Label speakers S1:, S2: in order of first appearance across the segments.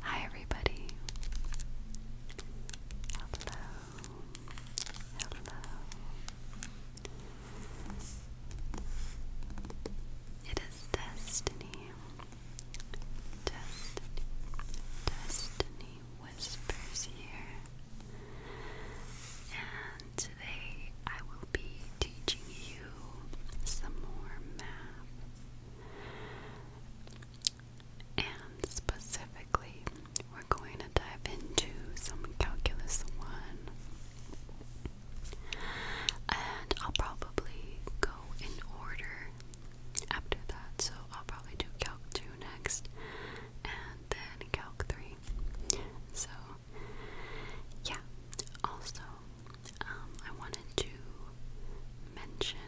S1: Hi, everybody. Hello. Hello. It is Destiny. Destiny. Destiny whispers here today I will be teaching you some more math. And specifically, we're going to dive into some calculus 1. And I'll probably go in order after that, so I'll probably do calc 2 next and then calc 3. So yeah. Also, um, I wanted to mention.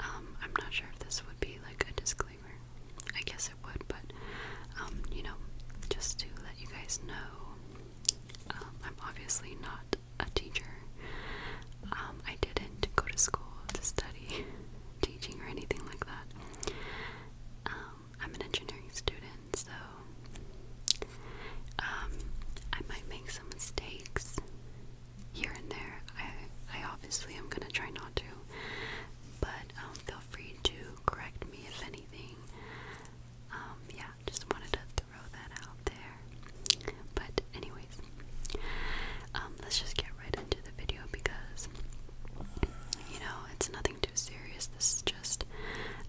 S1: Um, I'm not sure if this would be like a disclaimer. I guess it would, but um, you know, just to let you guys know, I'm obviously not a teacher. I didn't go to school to study teaching or anything like that. I'm an engineering student, so um, I might make some mistakes here and there. I, I obviously am gonna try not to, but um, feel free to correct me if anything. Um, yeah, just wanted to throw that out there. But anyways, um, let's just get right into the video because you know, it's nothing too serious. This is just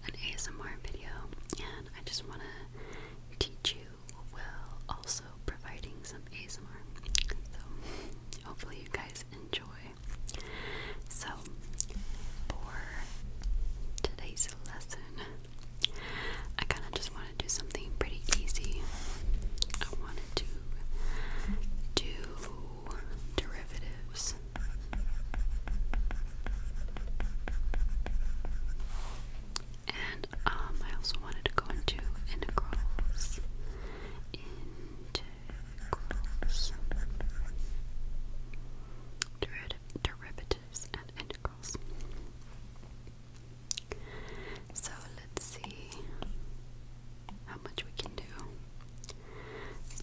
S1: an ASMR video, and I just want to teach you while also providing some ASMR. So, hopefully, you guys enjoy. So, for today's lesson, I kind of just want to do something pretty easy. I wanted to do derivatives. And um, I also wanted to go into integrals. Integrals. Deriv derivatives and integrals. So let's see how much we can do.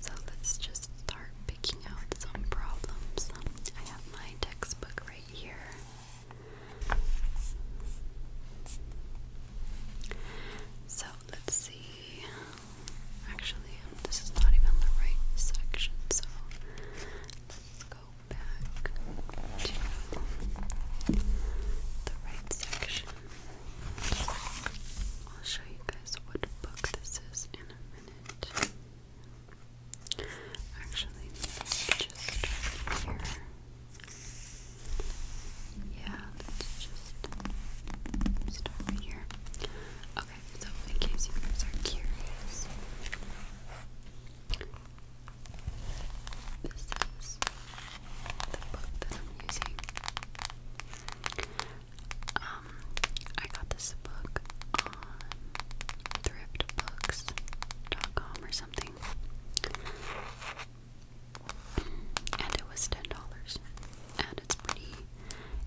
S1: So let's just start picking out some problems. I have my textbook right here. So let's see. Actually, this is not even the right section, so let's go back to the right section. I'll show you guys what book this is in a minute. Actually, let's just start here. Yeah, let's just start here. Okay, so in case you guys are curious, this is the book that I'm using. Um, I got this book on thriftbooks.com or something. And it was ten dollars. And it's pretty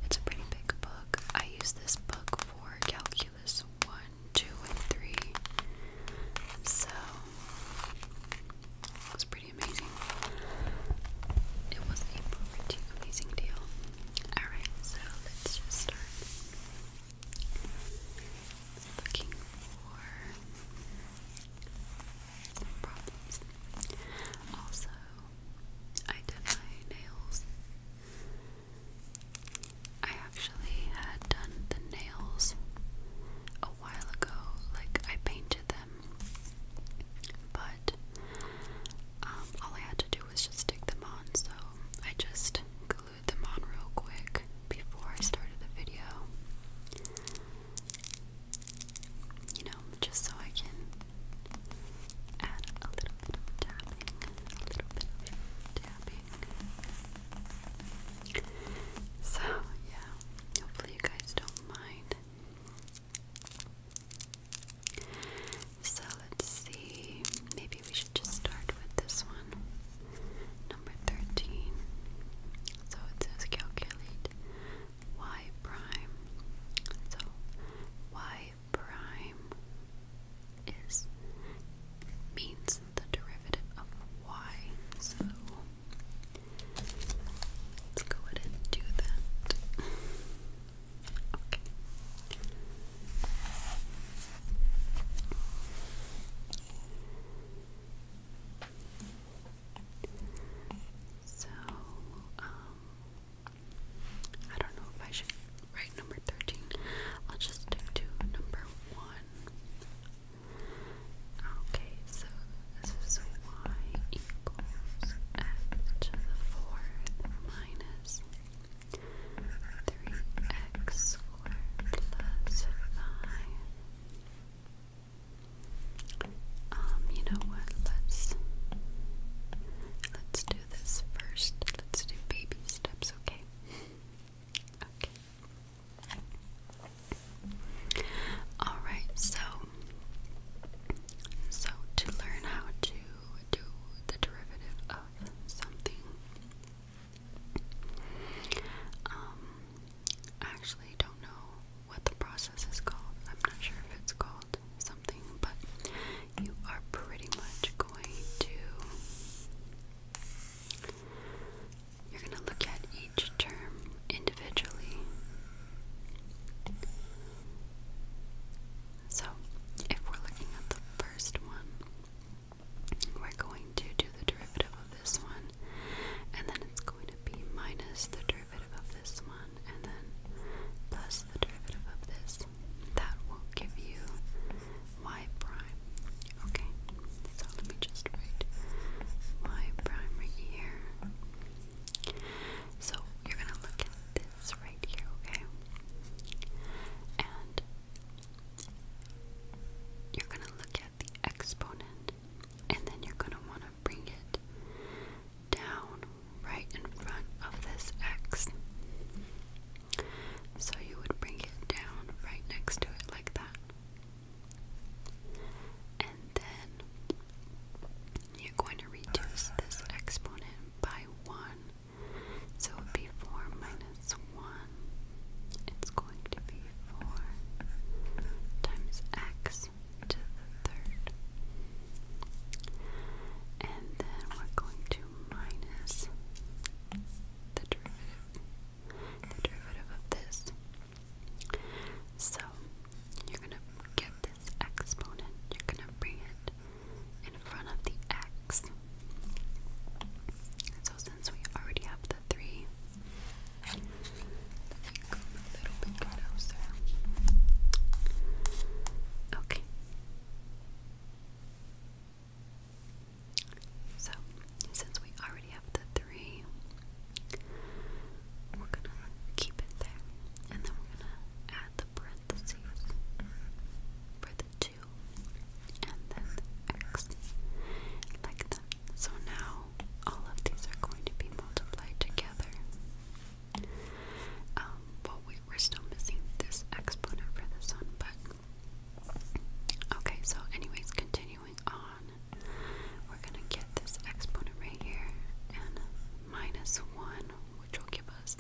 S1: it's a pretty big book. I use this book for calculus one, two, and three. So it was pretty it was a pretty amazing deal. Alright, so let's just start looking for problems. Also, I did my nails. I actually had done the nails a while ago. Like, I painted them but um, all I had to do was just stick them on, so I just glued them on real quick before I started the video. You know, just so I can add a little bit of tapping, a little bit of tapping. So, yeah, hopefully you guys don't mind so let's see. Maybe we should just start with this one. Number 13. So it says calculate y prime. So y prime is means the derivative of y. So Let's go ahead and do that. Okay. So, um, I don't know if I should write number 13. I'll just stick to number 1. Okay, so this is y equals x to the fourth minus three x squared plus five. Um, you know what? Let's let's do this first. Let's do baby steps, okay? okay. Alright, so so to learn how to do the derivative of something. Um I actually don't know what the process is called. I'm not sure if it's called something, but you are pretty much going to you're going to look at each term individually. So, if we're looking at the first one, we're going to do the derivative of this one, and then it's going to be minus the derivative of this one, and then plus the derivative of this. That will give you y prime. Okay, so let me just write y prime right here. So you're gonna look at this right here, okay? And you're gonna look at the exponent, and then you're gonna want to bring it down right in front of this x. So you would bring it down right next to it like that. And then you're going to reduce this exponent by 1. So it would be 4 minus 1. It's going to be 4 times x to the third. And then we're going to minus the derivative. The derivative of this so you're gonna get this exponent, you're gonna bring it in front of the x. So since we already have the three, Okay. So, since we already have the three. We're gonna keep it there, and then we're gonna add the parentheses for the two, and then the x, like that. So now all of these are going to be multiplied together. Um, well, we, we're still missing this exponent for this one, but okay. So, anyways, continue continuing on, we're going to get this exponent right here and minus 1, which will give us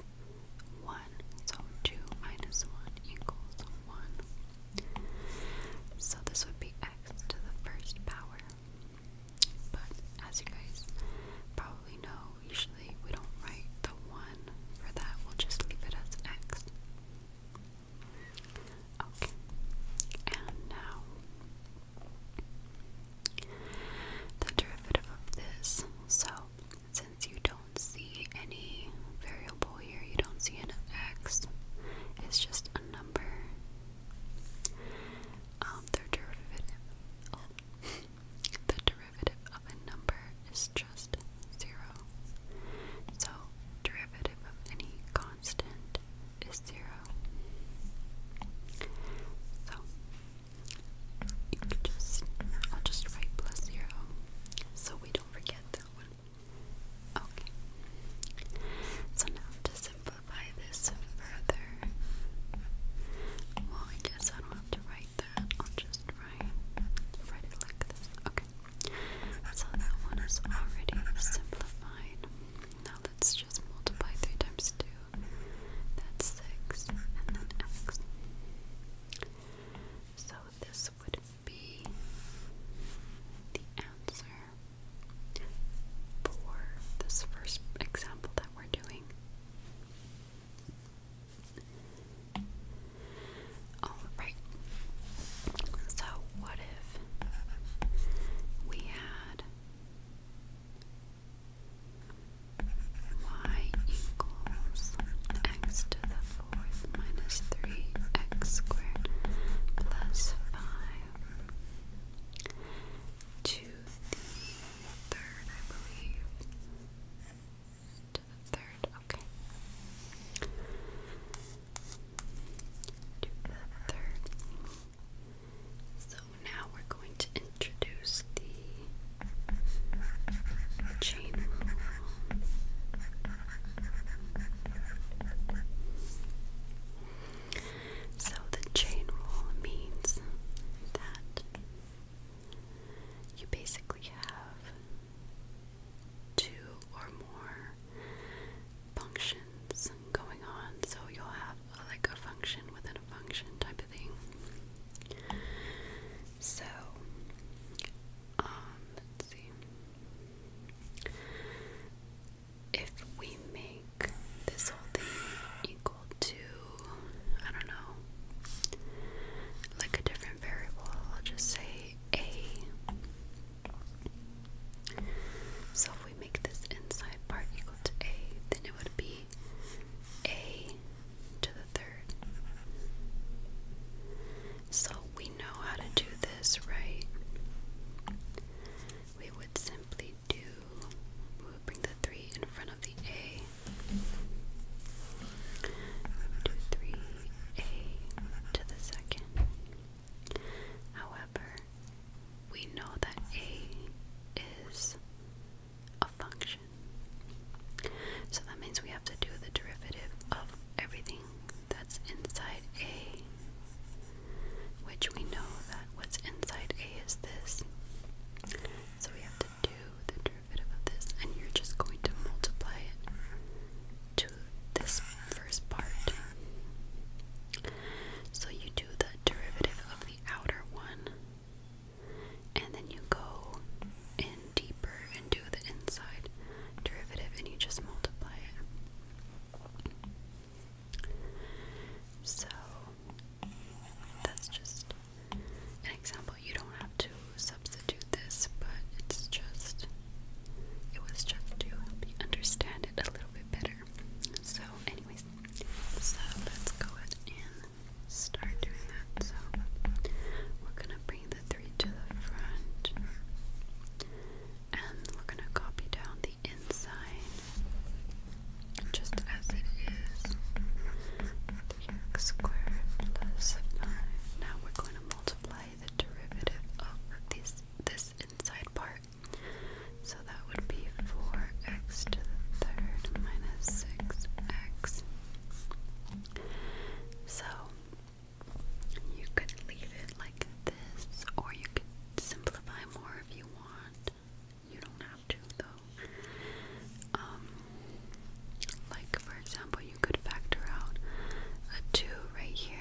S1: 1. So 2 minus 1 equals 1. So this would be x to the first power. But as you guys probably know, usually we don't write the 1 for that, we'll just leave it as x. Okay, and now the derivative of this. So, since you don't see any variable here, you don't see an x, it's just a number. Um, the derivative, the derivative of a number is just zero. So, derivative of any constant is zero. So you can just I'll just write plus zero so we don't forget that one. Okay. So now to simplify this further. Well I guess I don't have to write that. I'll just write write it like this. Okay. So that one is already simplified. That's just multiply 3 times 2. That's 6, and then x. So this would be the answer for this first example that we're doing. Alright, so what we had y equals x to the fourth minus 3x squared plus 5 to the third, I believe. To the third, okay. So now we're going to introduce the chain rule. So the chain rule means that you basically have two or more functions going on, so you'll have like a function within a function type of thing. So, um, let's see. If we make this whole thing equal to, I don't know, like a different variable, I'll just say a so if we make this inside part equal to a, then it would be a to the third. So we know how to do this, right? We would simply do, we would bring the 3 in front of the a. We 3a to the second However, we know that a is a function. So that means we have to do the derivative of everything that's inside a, which we know that what's inside a is this. So we have to do the derivative of this, and you're just going to multiply it to this first part. So you do the derivative of the outer one, and then you go in deeper and do the inside derivative, and you just multiply it. So that's just an example. You don't have to substitute this, but it's just. It was just to help you understand it a little bit better. So, anyways, so let's go ahead and start doing that. So, we're gonna bring the three to the front, and we're gonna copy down the inside just as it is. 3x squared plus 5. Now we're going to multiply the derivative of this this inside part so that would be 4x to the third minus 6x. So you could leave it like this, or you could simplify more if you want. You don't have to, though. Um, like, for example, you could factor out a 2 right here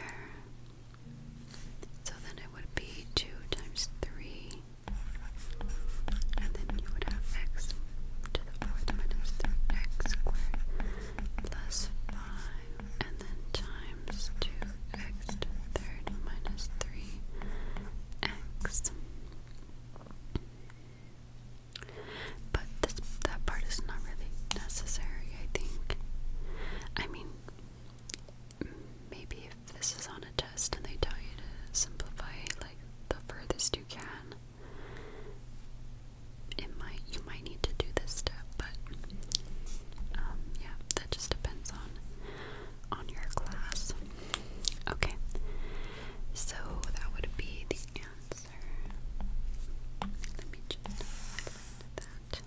S1: so then it would be 2 times 3, and then you would have x to the fourth minus 3x squared plus 5, and then times 2x to minus 3x. But that part is not really necessary, I think. I mean, maybe if this is on a test and they tell you to simplify like the furthest you can, it might you might need to do this step, but um, yeah, that just depends on on your class. Okay, so that would be the answer. Let me just highlight that.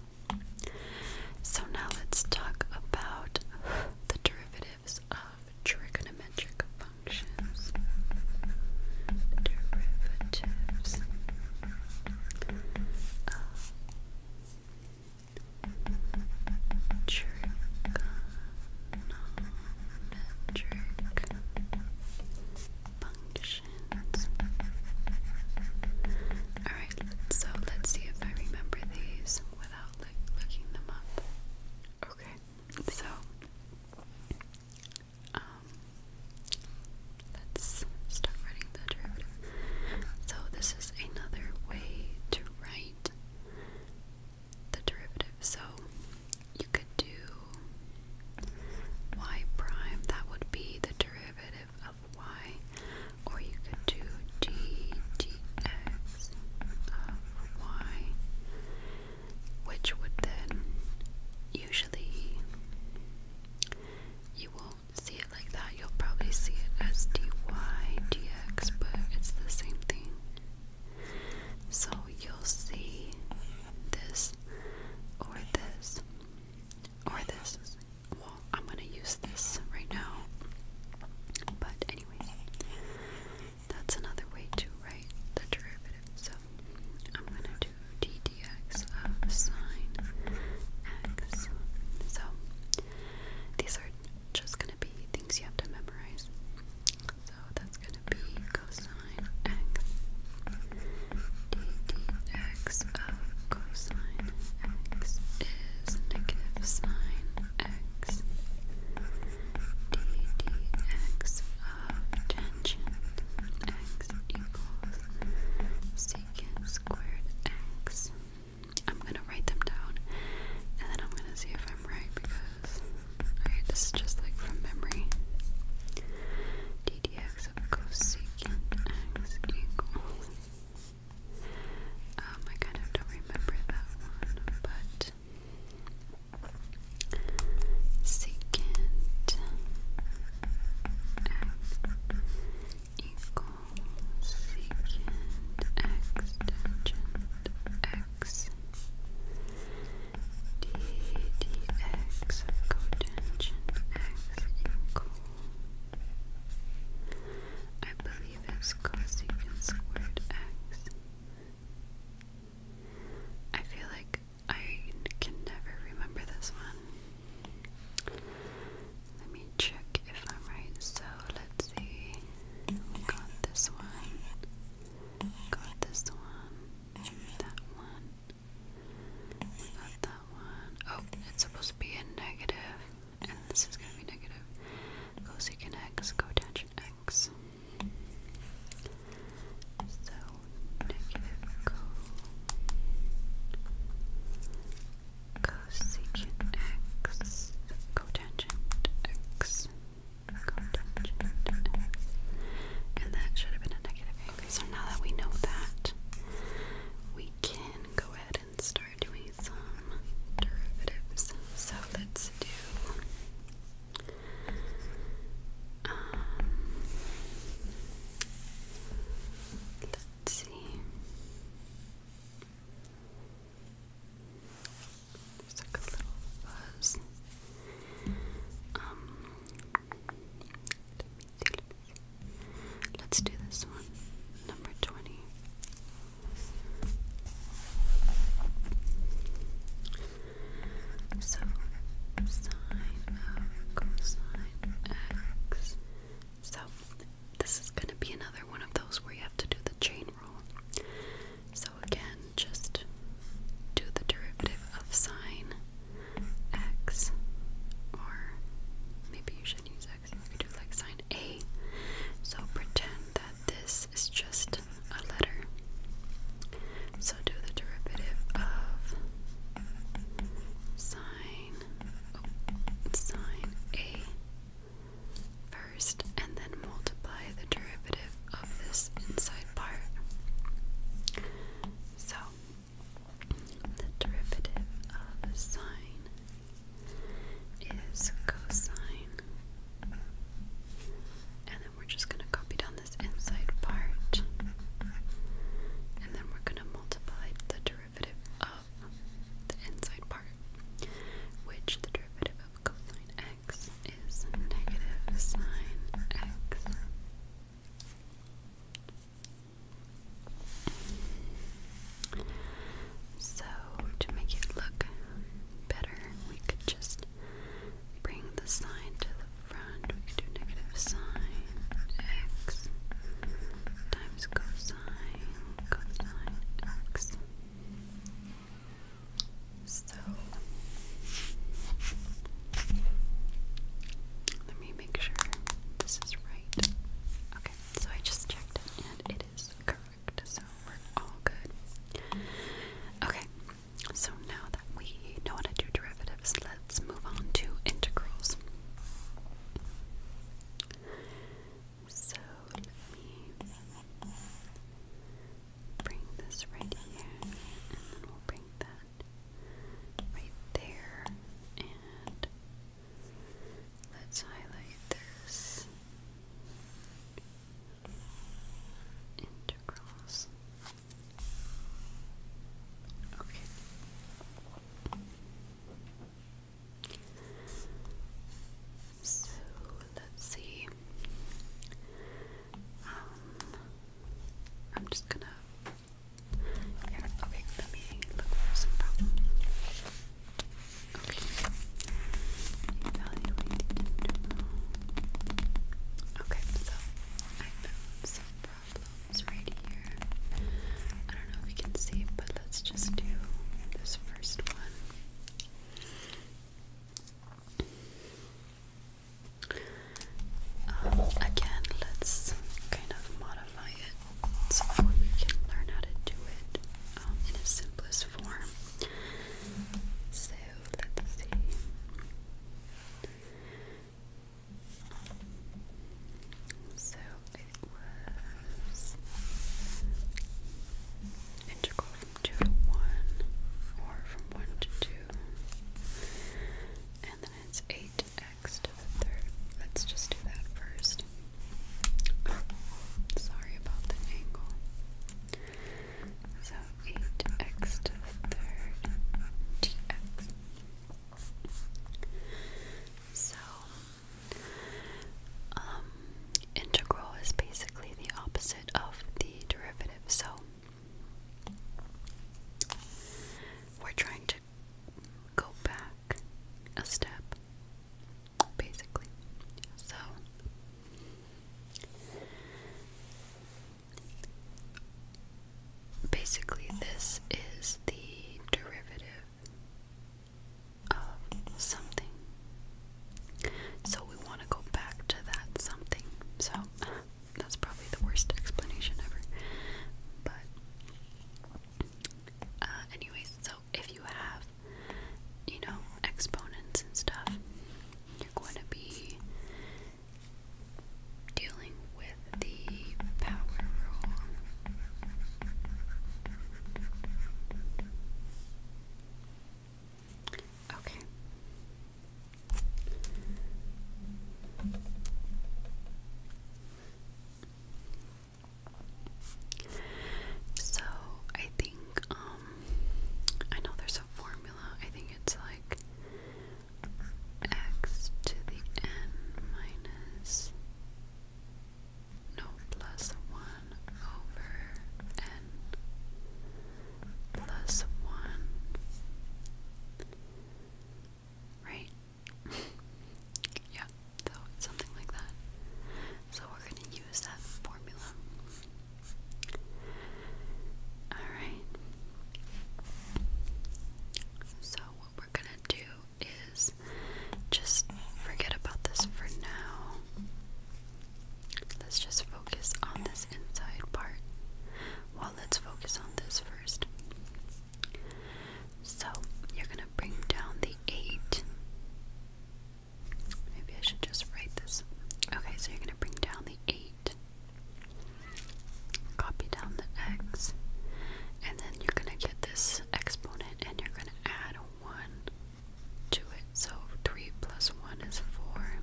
S1: So now let's talk about the derivatives of trigonometric functions. Derivatives of trigonometric functions. Alright, so let's see if I remember these without like looking them up. Okay, so um, let's start writing the derivative. So this is another way to write the derivative. So you could do y prime, that would be the derivative of y, or you could do d dx of y, which would then usually you won't see it like that. You'll probably see it as dy dx, but it's the same thing. So you'll see this or this or this well, I'm gonna use this right now. But anyway, that's another way to write the derivative. So I'm gonna do d of sine x. So these are just gonna be things you have to memorize. So that's gonna be cosine x x of cosine x is negative sine x d x of tangent x equals secant squared x. I'm going to write them down and then I'm going to see if I'm right because alright, this is just like from memory. d dx of cosecant x equals um, I kind of don't remember that one, but secant x equals secant tangent x d cotangent x equals I believe x cosecant squared x. I feel like I can never remember this one. Let me check if I'm right. So let's see. got this one. Got this one. That one. Not that one. Oh, it's supposed to be a negative, and this is gonna be negative. Cosecant x, cotangent x. So negative co x, cotangent x, cotangent x. And that should have been a negative. Okay, so now that we know that, we can can go ahead and start doing some derivatives. So let's do um let's see. There's like a little fuzz. Um let me see, let me Let's do this one. Number 20. So, sine of cosine x. So, this is going to be another one of those where you have to do the chain rule. So, again, just do the derivative of sine X, or maybe you should use X, you could do like sign A. So pretend that this is just a letter. So do the derivative of sine, oh, sine A first, and then multiply the derivative of this inside part. So the derivative of sine is cosine. And then we're just going to copy down this inside part. And then we're going to multiply the derivative of the inside part, which the derivative of cosine x is negative sine x. So, to make it look better, we could just bring the sign to the front. We could do negative sign x times cosine cosine x. So, let me make sure this is right. Okay, so I just checked and it is correct, so we're all good. Okay, so now that we know how to do derivatives, let's move on to integrals. So let me bring this right here and then we'll bring that right there, and let's highlight this integrals. Okay. So let's see. Um, I'm just gonna okay, Okay. so I found some problems right here. I don't know if we can see, but let's just do this first one. Um, again, let's kind of modify it methods we can learn how to do it um, in its simplest form. So let's see. So it was integral from 2 to 1 or from 1 to 2 and then it's 8 x to the third. Let's just do that first. sorry about the angle. So 8x to the third dx. So, um, integral is basically the opposite of the derivative. So, we're trying to go back a step, basically. So, basically, this is the derivative of something. So, we want to go back to that something. So, that's probably the worst explanation ever. But uh, anyways, so if you have, you know, exponents and stuff, you're going to be dealing with the power rule. Okay. So I think um I know there's a formula. I think it's like x to the n minus no plus one over n plus one right? yeah, so something like that. So we're going to use that formula. Alright. So what we're going to do is just forget about this for now. Let's just focus on this inside part. Well, let's focus on this first. So you're going to bring down the 8. Maybe I should just write this. Okay, so you're going to bring down the 8. Copy down the x. And then you're going to get this exponent and you're going to add 1 to it. So 3 plus 1 is 4.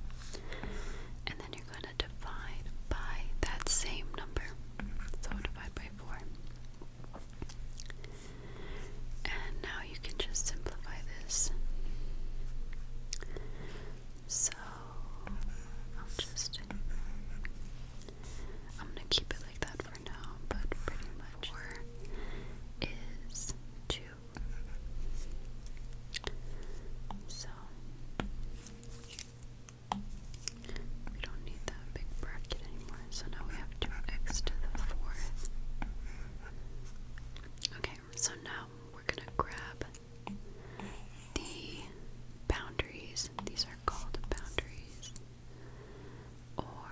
S1: And then you're going going to divide by that same number. So divide by 4. And now you can just simplify this. So I'll just. I'm gonna keep it like that for now, but pretty much. 4 is 2. So. We don't need that big bracket anymore, so now we have 2x to the fourth. Okay, so now we're gonna grab the boundaries. These are called boundaries. Or,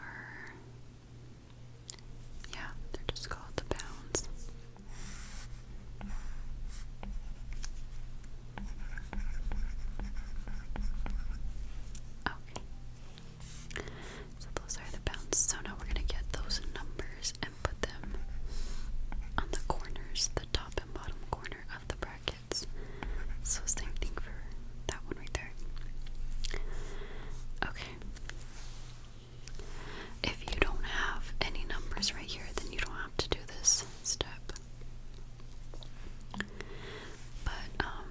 S1: yeah, they're just called the bounds. So those are the bounds. So now we're going to get those numbers and put them on the corners, the top and bottom corner of the brackets. So same thing for that one right there. Okay. If you don't have any numbers right here, then you don't have to do this step. But um,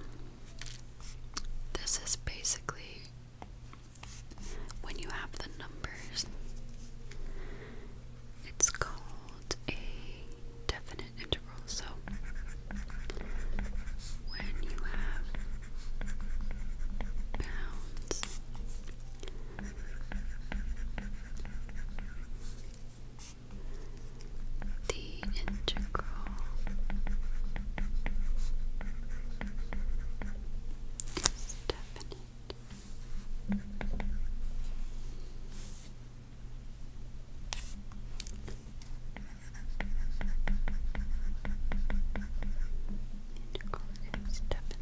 S1: this is basically when you have the numbers it's called a definite integral. So when you have pounds the integral definite. Integral definite.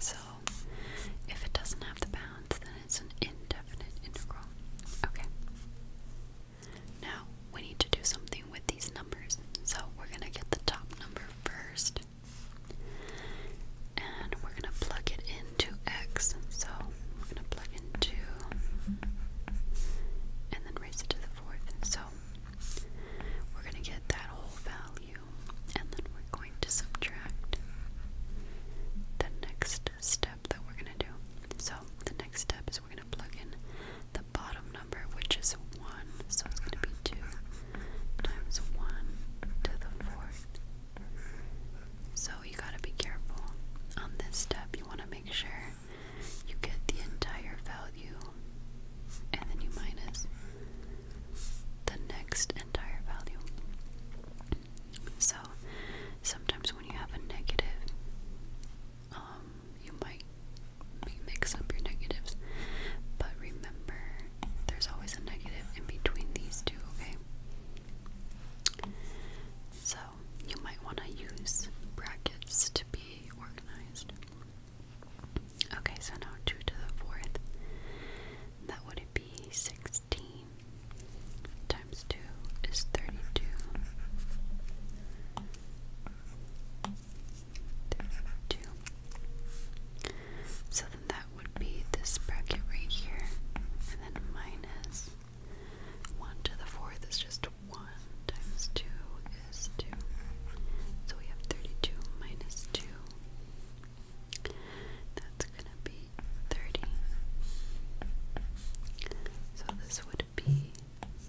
S1: So if it doesn't have the bounds, then it's an indefinite integral. Okay. Now, we need to do something with these numbers. So, we're going to get the top number first. And we're going to plug it into x. So, we're going to plug in And then raise it to the fourth. So, we're going to get that whole value and then we're going to subtract the next step that we're going to do. So, the next step is we're going to plug in the bottom number, which is 1, so it's going to be 2 times 1 to the fourth. So, you got to be careful on this step. You want to make sure you get the entire value and then you minus the next entire value. So sometimes when you have a negative, um, you might mix up your negatives, but remember there's always a negative in between these two, okay? So you might want to use brackets to be organized. Okay, so now 2 to the 4th, that would 16 times 2 is 32. So then that would be this bracket right here, and then minus 1 to the 4th is just 1 times 2 is 2. So we have 32 minus 2 that's gonna be 30. So this would be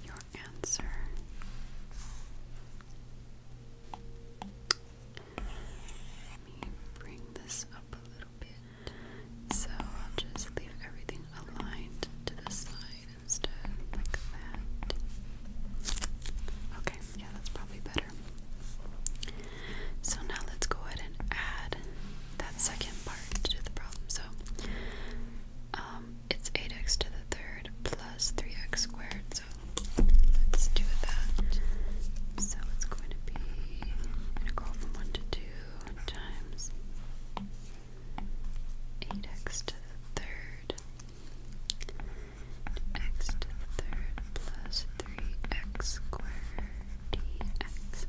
S1: your answer. Let me bring this up a little bit. So I'll just leave everything aligned to the side instead, like that. Okay, yeah, that's probably better. So now let's go ahead and add that second part to the problem. So um, it's 8x to the third plus 3x squared. So let's do that. So it's going to be, I'm going to go from 1 to 2 times 8x to the third x to the third plus 3x squared dx.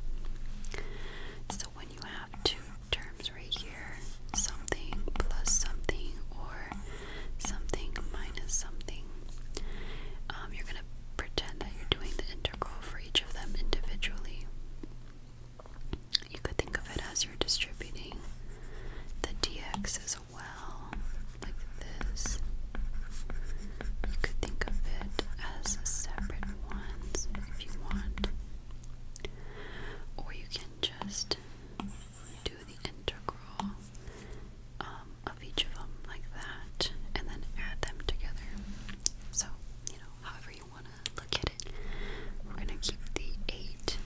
S1: So when you have two terms right here, something plus something or something minus something, um, you're going to pretend that you're doing the integral for each of them individually. You could think of it as you're distributing the dx dx's well, like this. You could think of it as separate ones if you want. Or you can just do the integral um, of each of them like that and then add them together. So, you know, however you want to look at it, we're going to keep the 8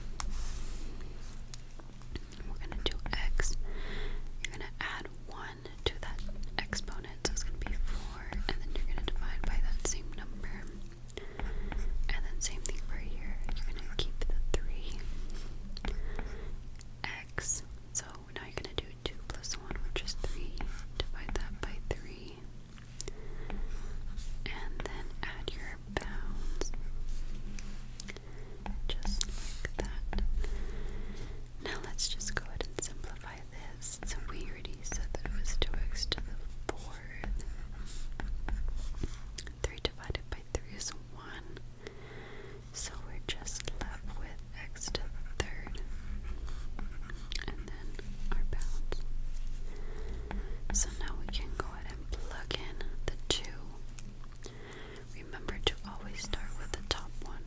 S1: we're gonna do x. You're gonna add one to that exponent, so it's gonna be four, and then you're gonna divide by that same number. And then same thing for here. You're gonna keep the three x. So now you're gonna do two plus one, which is three. Divide that by three. And then add your bounds. Just like that. Now let's just go ahead and simplify this. So we already said that it was 2x to the 4th. 3 divided by 3 is 1. So we're just left with x to the 3rd. And then our bounds. So now we can go ahead and plug in the 2. Remember to always start with the top one.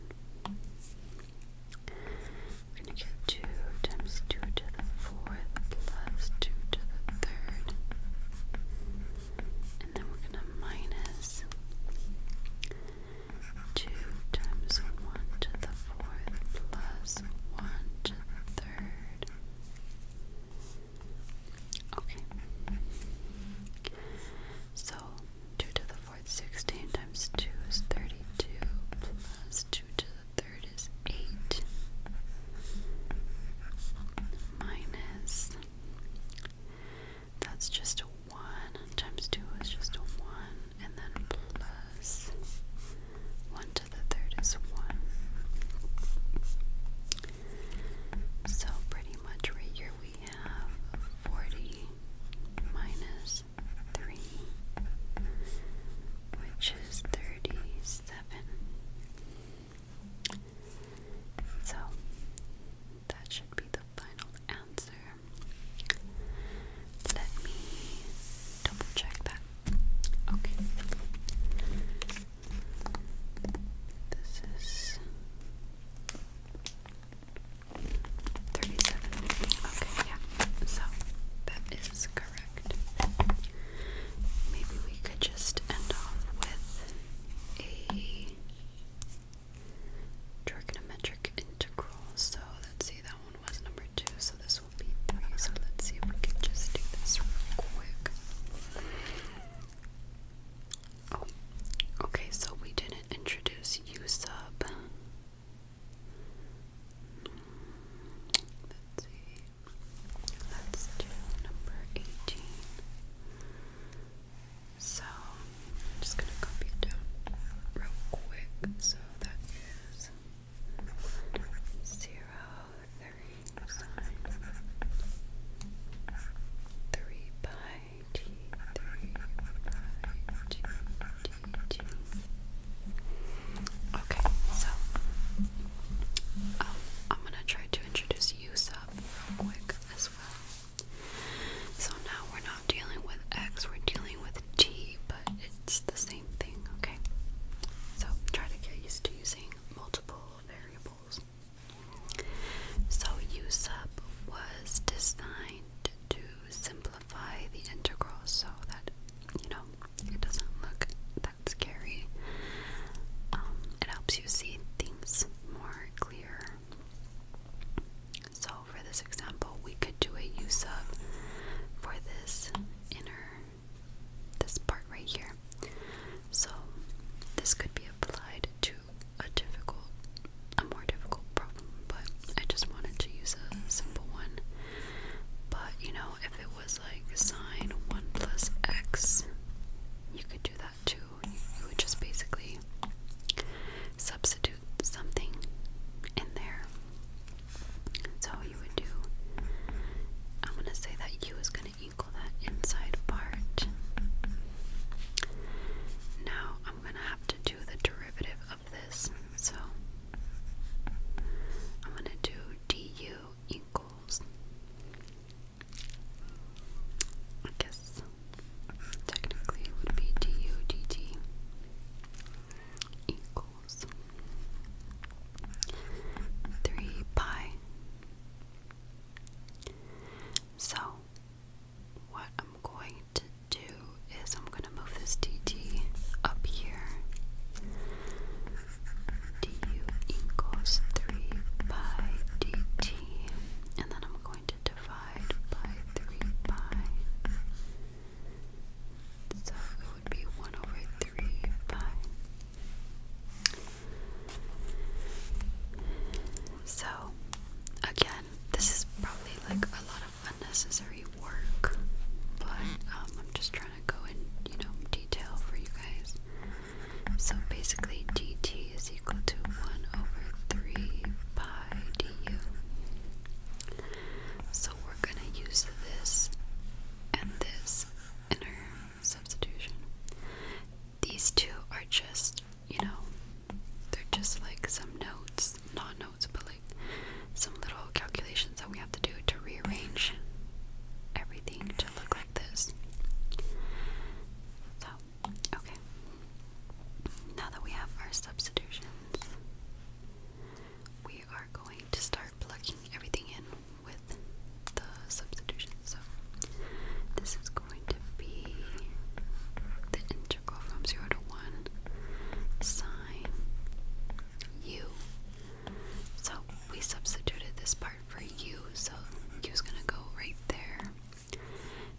S1: We're going to get 2 times 2 to the 4th plus 2 to the 3rd. And then we're going to minus 2 times 1 to the 4th plus 1 to the 3rd. Okay. So 2 to the 4th, 16 times 2 is 32, plus 2 to the 3rd is 8, minus, that's just a 1, times 2 is just a 1, and then plus 1 to the 3rd is 1. So pretty much right here we have 40 minus 3, which is 37. So, that should be the final answer. Let me double check that. Okay. This is Thirty-seven. Okay, yeah. So that is correct. Maybe we could just end off with a trigonometric integral. So let's see, that one was number two, so this will be three. So let's see if we can just do this real quick okay, so we didn't introduce USUB. Let's do number 18. So, I'm just going to copy it down real quick. So that is zero, three, pi Okay, so I'm gonna try to introduce use up real quick as well. So now we're not dealing with X, we're dealing with T, but it's the same thing, okay? So try to get used to using multiple variables. So USUP was designed to simplify the integral so that, you know, it doesn't look that scary. Um, it helps you see things more clear. So for this example, we could do a USUP for this inner, this part right here. So this could be applied to a difficult, a more difficult problem, but I just wanted to use a simple one. But you know, if it was like sine 1 plus x, you could do that too. You would just basically substitute something in there. So you would do, I'm going to say that u is going to equal that inside part. Now I'm going to have to do the derivative of this. So I'm going to do du equals, I guess technically it would be du equals 3 pi. So what I'm going to do is I'm going to move this DT up here. DU equals 3 pi DT. And then I'm going to divide by 3 pi. So it would be 1 over 3 pi. So, again, this is probably like a lot of unnecessary work, but um, I'm just trying to go in, you know, detail for you guys. So basically, dt is equal to 1 over 3 pi du. So we're going to use this and this in substitution. These two are just you know, they're just like some notes, not notes, but like some little calculations that we have to do to rearrange everything to look like this. So, okay. Now that we have our substitutions, we are going to start plugging everything in with the substitution. So this is going to be the integral from 0 to 1 sine u. So we substituted this part for u, so u is going to go right there.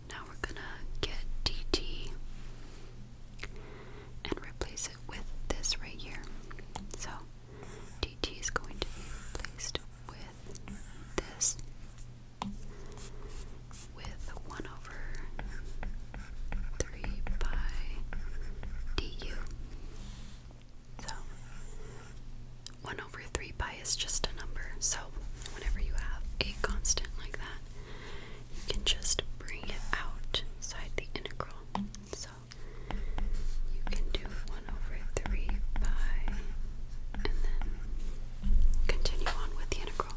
S1: Now we're going to get dt and replace it with this right here. So dt is going to be replaced with this with 1 over 3 by du. So, 1 over 3 pi is just a number, so whenever you have a constant like that, you can just bring it outside the integral. So, you can do over 3 pi, and then continue on with the integral.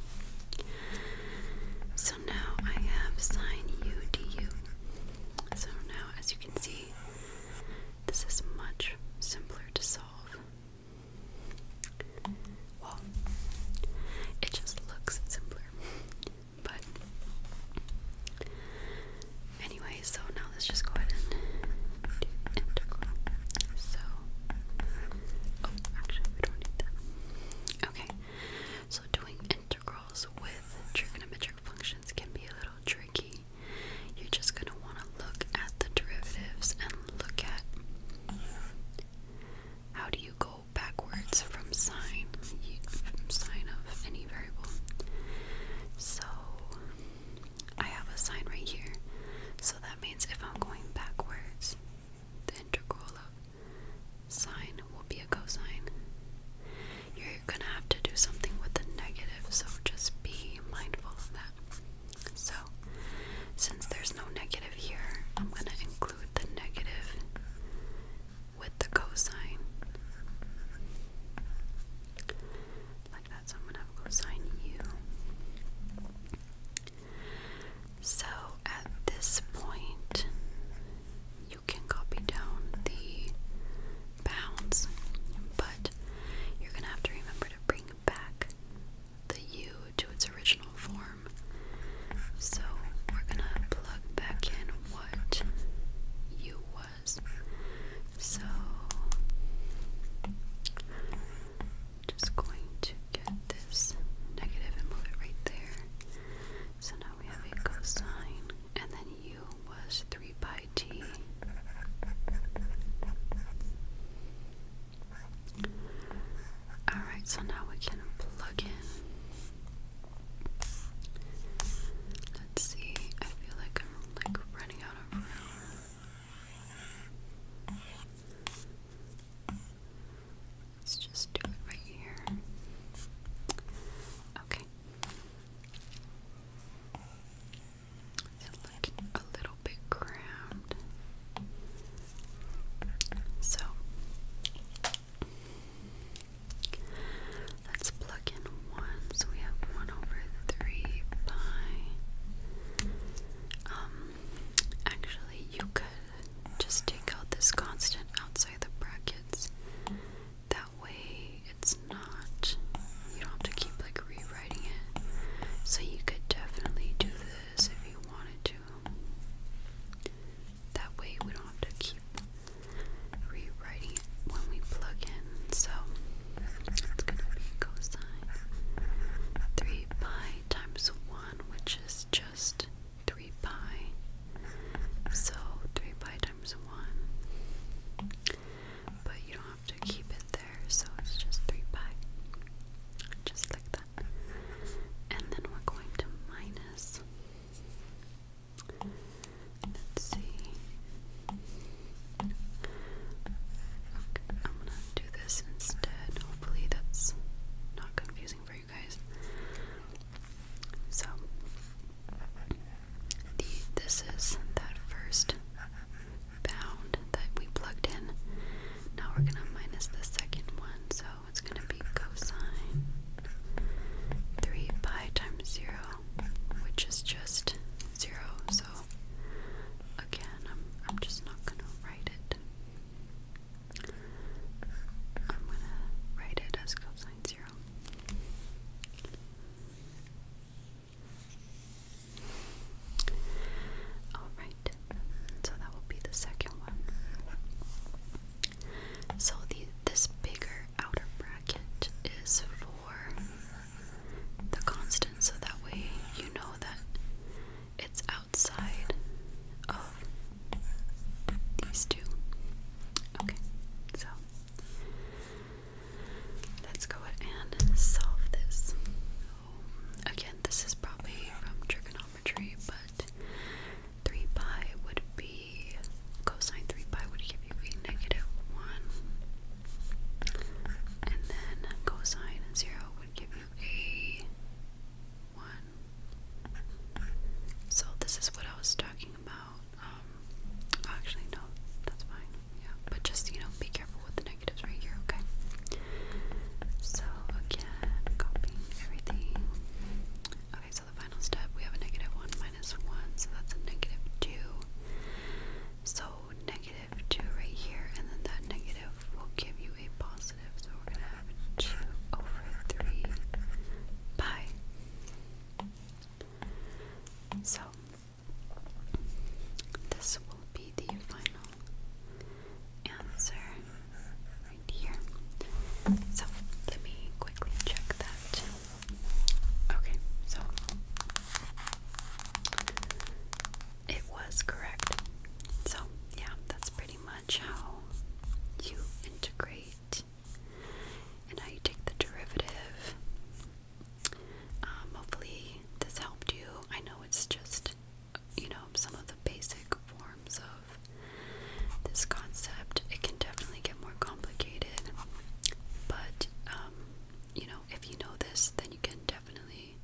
S1: So now I have sine u du. So now, as you can see, this is much simpler to solve. Well, it just looks simpler, but Anyway, so now let's just go ahead and do integral. So, oh, actually, we don't need that. Okay, so doing integrals with trigonometric functions can be a little tricky. You're just going to want to look at the derivatives and look at how do you go backwards from sine, sine of any variable. So, I have a sign right here. So that means if I'm going backwards, the integral of sine will be a cosine. You're gonna have to do something with the negative, so just be mindful of that. So, since there's no negative here, I'm gonna include the negative with the cosine like that. So I'm gonna have cosine u. So at this point, you can copy down the bounds, but you're gonna have to remember to bring back the u to its original form. So we're gonna plug back in what u was. So just going to get this negative and move it right there. So now we have a cosine, and then u was 3 pi t. Alright, so now we can plug in. Let's see, I feel like I'm like running out of room. Let's just do it right here. Okay. It looked a little bit crammed. So let's plug in one, so we have one over three pi. Um, actually, you could just take out this constant outside the brackets. That way, it's not. You don't have to keep like rewriting it. So you could definitely do this if you wanted to. That way, we don't have to keep rewriting it when we plug in. So it's going to be cosine 3 pi times 1, which is just 3 pi. So 3 pi times 1. But you don't have to keep it there, so it's just 3 pi. Just like that. And then we're going to minus. Let's see. I'm gonna do this instead. Hopefully, that's not confusing for you guys. So, the, this is that first bound that we plugged in. Now we're gonna minus the second one, so it's gonna be cosine 3 pi times 0, which is just 0, so again, I'm I'm just not gonna write it. I'm gonna write it as cosine zero. Alright, so that will be the second one. So the this bigger outer bracket is for for the constant so that way you know that it's outside of these two. Okay, so let's go ahead and solve this. again, this is probably from trigonometry, but 3 pi would be cosine 3 pi would give you a negative 1 and then cosine 0 would give you a 1. So this is what I was talking about. Um, actually, no, that's fine. Yeah, but just, you know, be careful with the negatives right here, okay? So again, copying everything. Okay, so the final step, we have a negative 1 minus 1, so that's a negative 2. So negative negative 2 right here, and then that negative will give you a positive. So we're going to have 2 over 3 pi. So this will be the final answer right here. So let me quickly check that. Okay, so it was correct. So, yeah, that's pretty much how you integrate and how take the derivative. Um, hopefully, this helped you. I know it's just, you know, some of the basic forms of this concept. It can definitely get more complicated, but um, you know, if you know this, then you can definitely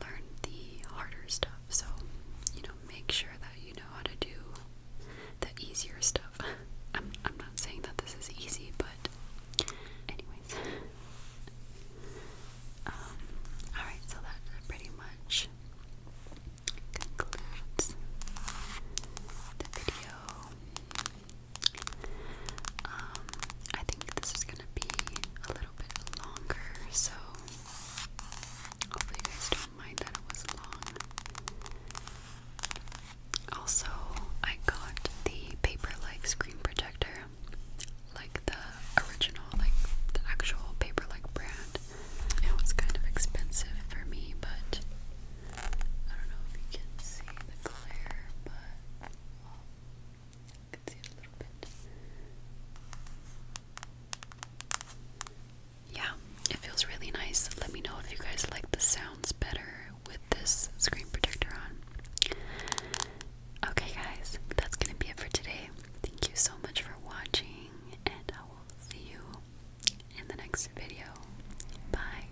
S1: learn the harder stuff. So, you know, make sure that you know how to do the easier stuff. I'm, I'm not saying that this is easy, but, anyways. Um, alright, so that pretty much concludes the video. Um, I think this is gonna be a little bit longer, so hopefully you guys don't mind that it was long. Also, I got the paper-like screen protector, like the original, like the actual paper-like brand. It was kind of expensive for me, but I don't know if you can see the glare, but yeah, it feels really nice. Let me know if you guys like the sounds better with this screen protector on. Okay, guys, that's gonna be it for today. Thank you so much for watching, and I will see you in the next video. Bye.